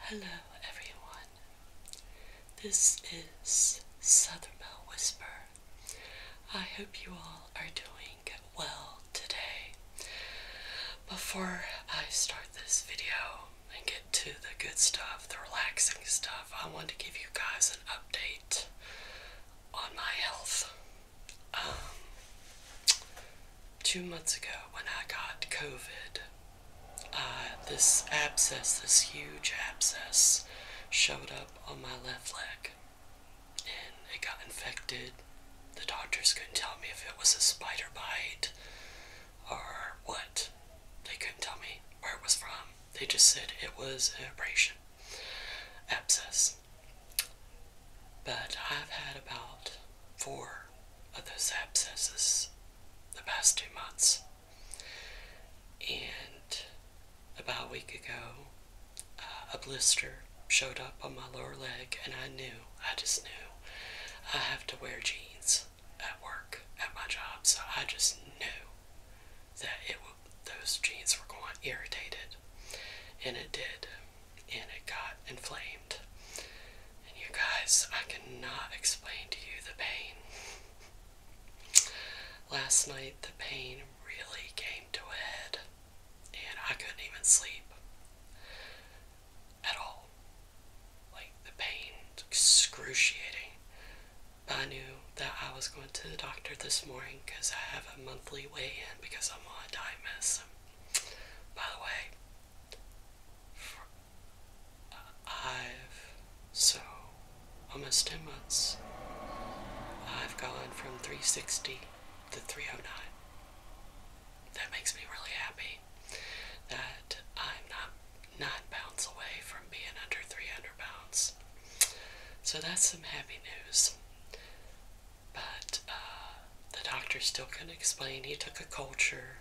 Hello, everyone. This is Southern Bell Whisper. I hope you all are doing well today. Before I start this video and get to the good stuff, the relaxing stuff, I want to give you guys an update on my health. Um, two months ago, when I got COVID, uh, this abscess, this huge abscess, showed up on my left leg and it got infected. The doctors couldn't tell me if it was a spider bite or what. They couldn't tell me where it was from. They just said it was an abrasion, abscess. But I've had about four of those abscesses the past two months. And about a week ago, uh, a blister showed up on my lower leg, and I knew, I just knew, I have to wear jeans at work, at my job. So I just knew that it those jeans were going irritated, and it did and it got inflamed. And you guys, I cannot explain to you the pain. Last night, the pain really came to a head, and I couldn't even sleep at all. Like, the pain excruciating. But I knew that I was going to the doctor this morning because I have a monthly weigh in because I'm on a diet medicine. By the way, I've so almost 10 months. I've gone from 360 to 309. That makes me really happy that I'm not nine pounds away from being under 300 pounds. So that's some happy news. But uh, the doctor still couldn't explain. He took a culture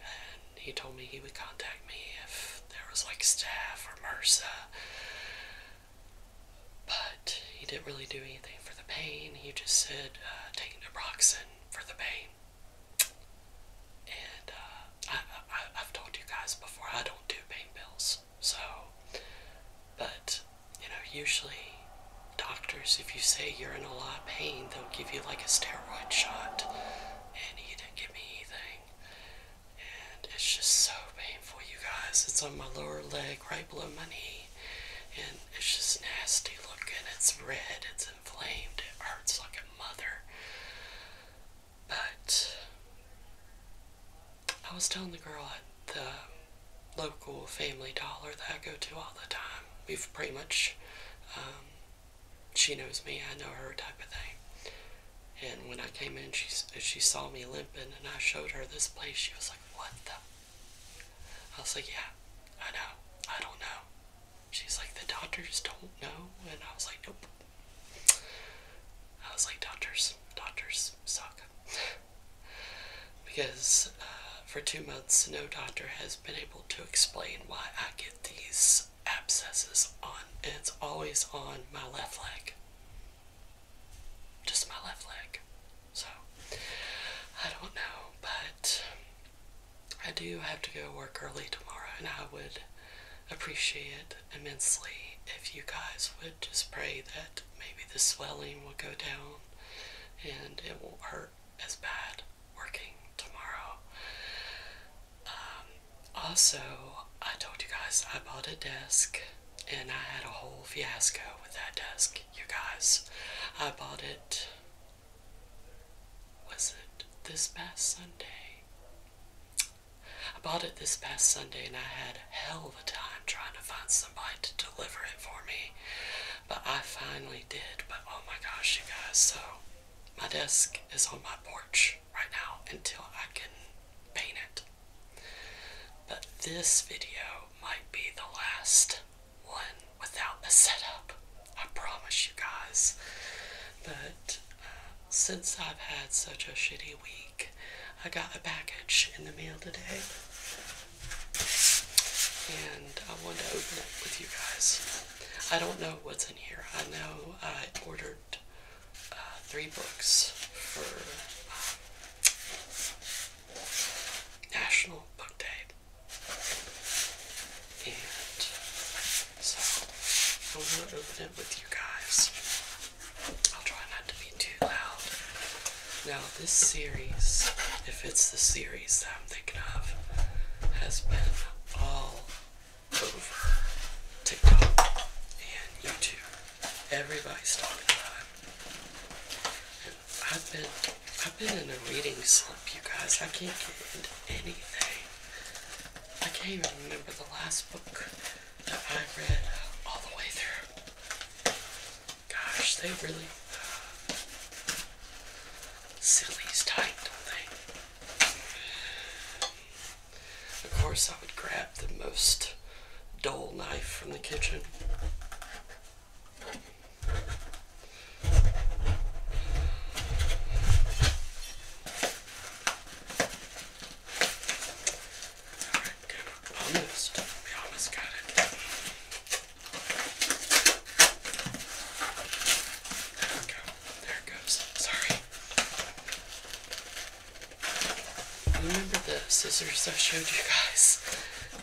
and he told me he would contact me if there was like staff or MRSA. But he didn't really do anything for the pain. He just said, uh, take naproxen for the pain. And uh, I've told you guys before, I don't do pain pills. So, but you know, usually doctors, if you say you're in a lot of pain, they'll give you like a steroid shot. And he didn't give me anything. And it's just so painful, you guys. It's on my lower leg, right below my knee. And it's just nasty looking. It's red, it's inflamed, it hurts like a mother. But I was telling the girl at the local family dollar that I go to all the time. We've pretty much, um, she knows me, I know her type of thing. And when I came in, she, she saw me limping and I showed her this place. She was like, what the? I was like, yeah, I know. I don't know. She's like, the doctors don't know. And I was like, nope. I was like, doctors, doctors suck. because uh, for two months, no doctor has been able to explain why I get these abscesses on, and it's always on my left leg. Just my left leg. So, I don't know, but I do have to go work early tomorrow, and I would appreciate immensely if you guys would just pray that maybe the swelling will go down and it won't hurt as bad working tomorrow. Um, also, I told you guys I bought a desk and I had a whole fiasco with that desk, you guys. I bought it, was it this past Sunday? I bought it this past Sunday and I had hell of a time trying to find something somebody to deliver it for me. But I finally did. But oh my gosh, you guys. So my desk is on my porch right now until I can paint it. But this video might be the last one without a setup. I promise you guys. But uh, since I've had such a shitty week. I got a package in the mail today, and I wanted to open it with you guys. I don't know what's in here. I know I ordered uh, three books for um, National Book Day, and so I am going to open it with you guys. I'll try not to be too loud. Now, this series, if it's the series that I'm thinking of, has been all over TikTok and YouTube. Everybody's talking about it. And I've been, I've been in a reading slump, you guys. I can't get into anything. I can't even remember the last book that I read all the way through. Gosh, they really uh, tight, don't they? Of course, I would grab the most dull knife from the kitchen. Alright, good. Almost. almost got it. There There it goes. Sorry. Remember the scissors I showed you guys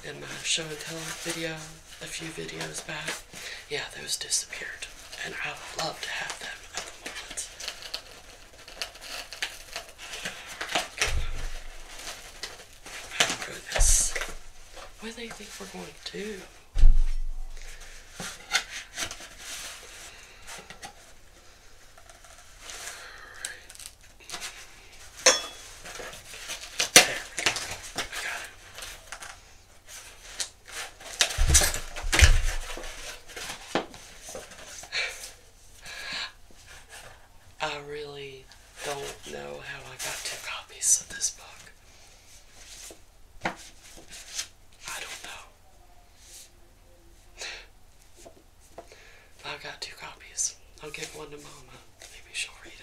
in my show and tell video a few videos back? Yeah, those disappeared. And I would love to have them at the moment. Oh, goodness. Where do you think we're going to? do? I really don't know how I got two copies of this book. I don't know. I've got two copies. I'll give one to Mama. Maybe she'll read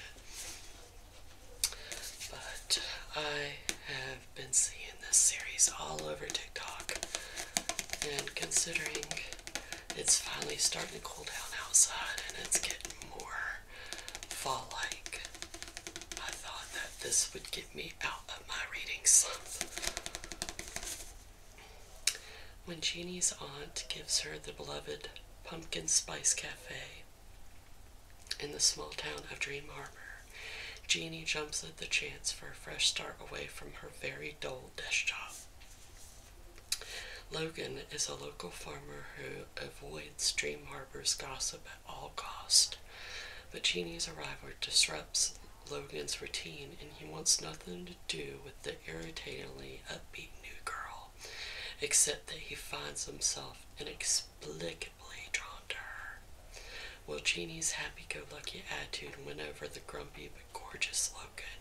it. But I have been seeing this series all over TikTok, and considering it's finally starting to cool down outside and it's getting more fall like, I thought that this would get me out of my reading slump. When Jeannie's aunt gives her the beloved Pumpkin Spice Cafe in the small town of Dream Harbor, Jeannie jumps at the chance for a fresh start away from her very dull desk job. Logan is a local farmer who avoids Dream Harbor's gossip at all cost, but Jeannie's arrival disrupts Logan's routine and he wants nothing to do with the irritatingly upbeat new girl, except that he finds himself inexplic deeply drawn Well, Jeannie's happy go lucky attitude went over the grumpy but gorgeous Logan,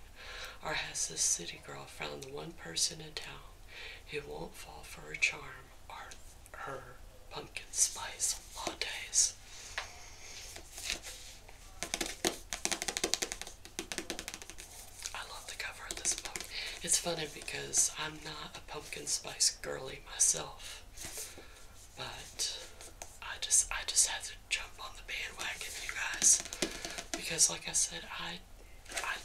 or has this city girl found the one person in town who won't fall for her charm or her pumpkin spice lattes? I love the cover of this book. It's funny because I'm not a pumpkin spice girly myself. But I just I just have to jump on the bandwagon, you guys, because like I said, I I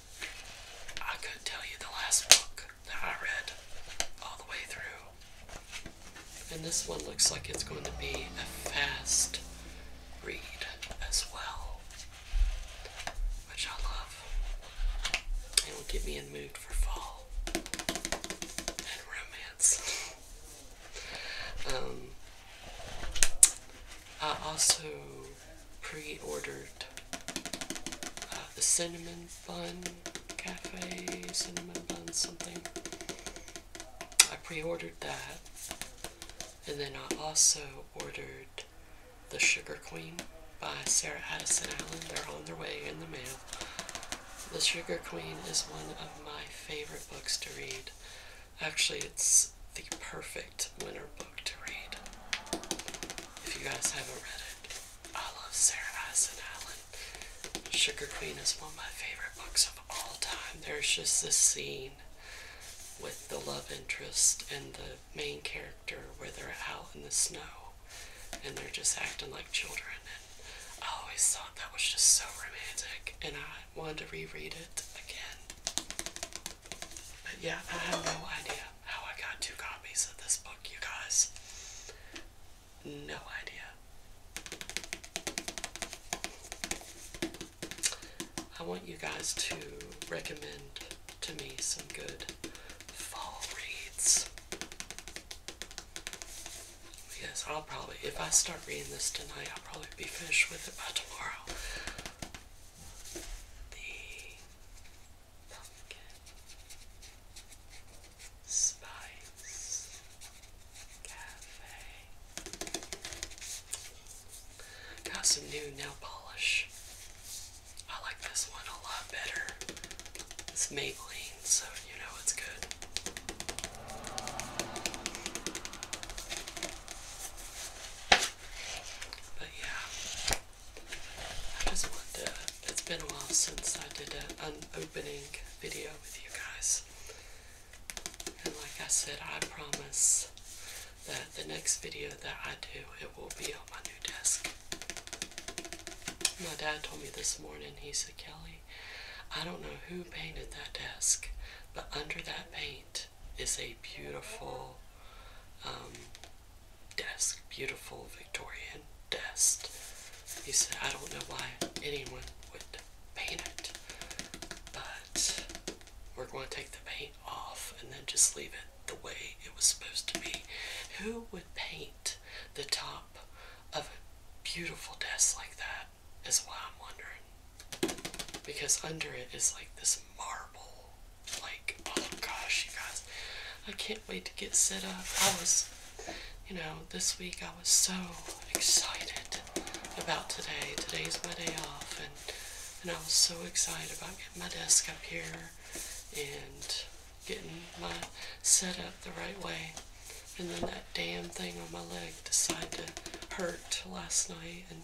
I couldn't tell you the last book that I read all the way through. And this one looks like it's going to be a fast read as well, which I love. It will get me in mood for fall. Um, I also pre-ordered uh, the cinnamon bun cafe cinnamon bun something. I pre-ordered that, and then I also ordered the sugar queen by Sarah Addison Allen. They're on their way in the mail. The Sugar Queen is one of my favorite books to read. Actually, it's the perfect winter book to read. If you guys haven't read it, I love Sarah Addison Allen. Sugar Queen is one of my favorite books of all time. There's just this scene with the love interest and the main character where they're out in the snow and they're just acting like children. And I always thought that was just so romantic, and I wanted to reread it again. But yeah, I have no idea how I got two copies of this book, you guys. No idea. I want you guys to recommend to me some good fall reads. Yes, I'll probably, if I start reading this tonight, I'll probably be finished with it by tomorrow. The pumpkin spice cafe. Got some new nail polish. I like this one a lot better. It's Maybelline, so you know it's good. But yeah, I just wanted to. It's been a while since I did an opening video with you guys. And like I said, I promise that the next video that I do, it will be on my new desk. My dad told me this morning, he said, Kelly, I don't know who painted that desk, but under that paint is a beautiful um, desk, beautiful Victorian desk. He said, I don't know why anyone would paint it, but we're going to take the paint off and then just leave it." the way it was supposed to be. Who would paint the top of a beautiful desk like that? Is why I'm wondering. Because under it is like this marble. Like, oh gosh, you guys. I can't wait to get set up. I was, you know, this week I was so excited about today. Today's my day off, and, and I was so excited about getting my desk up here and getting my set up the right way. And then that damn thing on my leg decided to hurt last night, and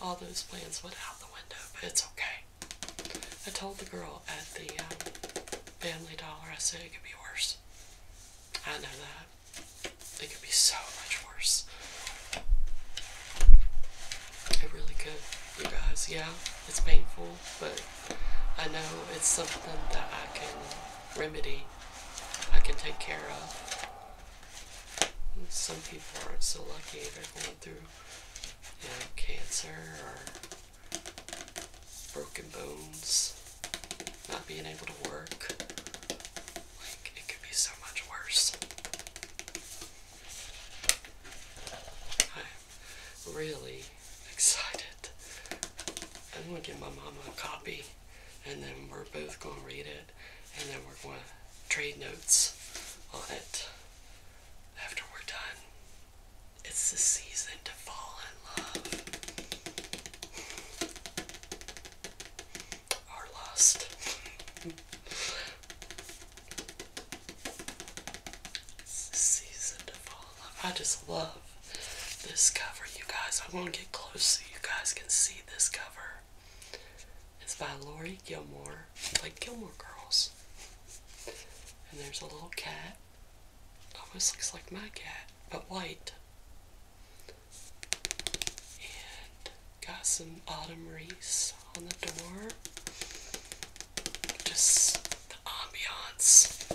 all those plans went out the window, but it's okay. I told the girl at the um, Family Dollar, I said it could be worse. I know that. It could be so much worse. It really could, you guys. Yeah, it's painful, but I know it's something that I can remedy, I can take care of. some people aren't so lucky, they're going through you know, cancer or broken bones, not being able to work. Like, it could be so much worse. I'm really excited. I'm going to give my mama a copy, and then we're both going to read it, and then we're going to trade notes on it after we're done. It's the season to fall in love. Or lust. Season to fall. I just love this cover, you guys. i want to get close so you guys can see this cover. It's by Lori Gilmore, like Gilmore Girls. And there's a little cat. Almost looks like my cat, but white. And Got some autumn wreaths on the door. Just the ambiance.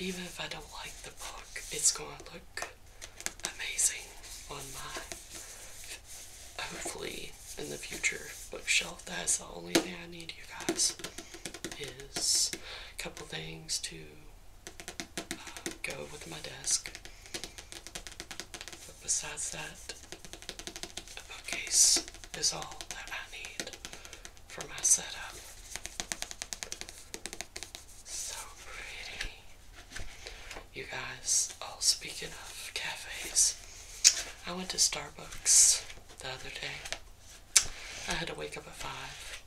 Even if I don't like the book, it's going to look amazing on my, hopefully in the future, bookshelf. That's the only thing I need, you guys, is a couple things to uh, go with my desk. But besides that, a bookcase is all that I need for my setup. So pretty. You guys, oh, speaking of cafes, I went to Starbucks the other day. I had to wake up at 5,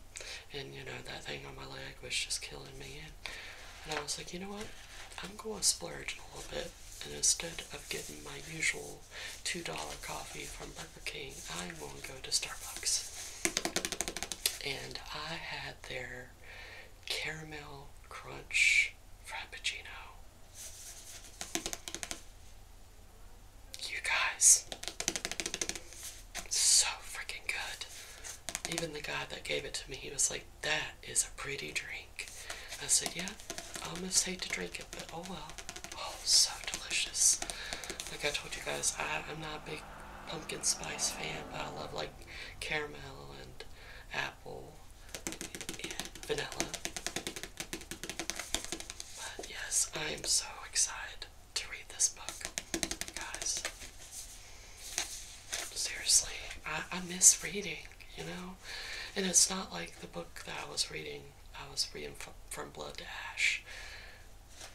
and you know, that thing on my leg was just killing me. And I was like, you know what? I'm going to splurge a little bit, and instead of getting my usual $2 coffee from Burger King, I'm going to go to Starbucks. And I had their caramel crunch frappuccino. You guys, so freaking good even the guy that gave it to me, he was like, That is a pretty drink. I said, Yeah, I almost hate to drink it, but oh well. Oh, so delicious. Like I told you guys, I, I'm not a big pumpkin spice fan, but I love like caramel and apple and vanilla. But yes, I am so excited to read this book, guys seriously, I, I miss reading, you know? And it's not like the book that I was reading, I was reading from, from Blood to Ash.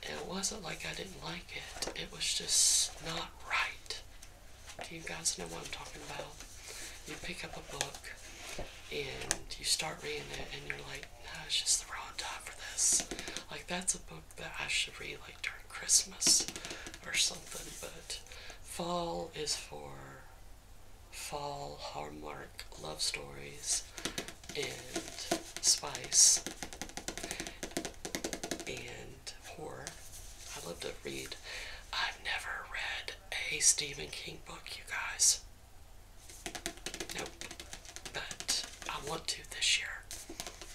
It wasn't like I didn't like it, it was just not right. Do you guys know what I'm talking about? You pick up a book and you start reading it, and you're like, no, it's just the wrong time for this. Like, that's a book that I should read like during Christmas or something, but fall is for fall hallmark love stories and spice and horror. I love to read. I've never read a Stephen King book, you guys. Nope. But I want to this year.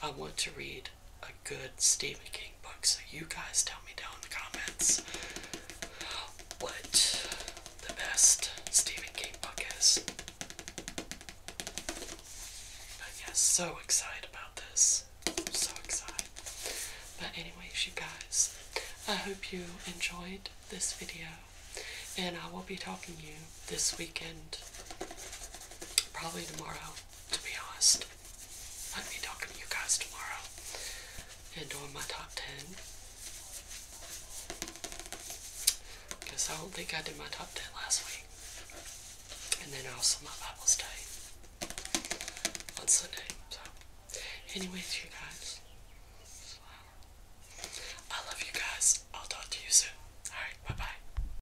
I want to read a good Stephen King book, so you guys tell me down in the comments what the best Stephen King book is. But yeah, so excited about this. So excited. But anyways, you guys, I hope you enjoyed this video. And I will be talking to you this weekend, probably tomorrow, to be honest. I'm gonna be talking to you guys tomorrow and doing my top 10. Because I don't think I did my top 10 last week. And then also my Bible study on Sunday. So, anyways, you guys, I love you guys. I'll talk to you soon. Alright, bye bye.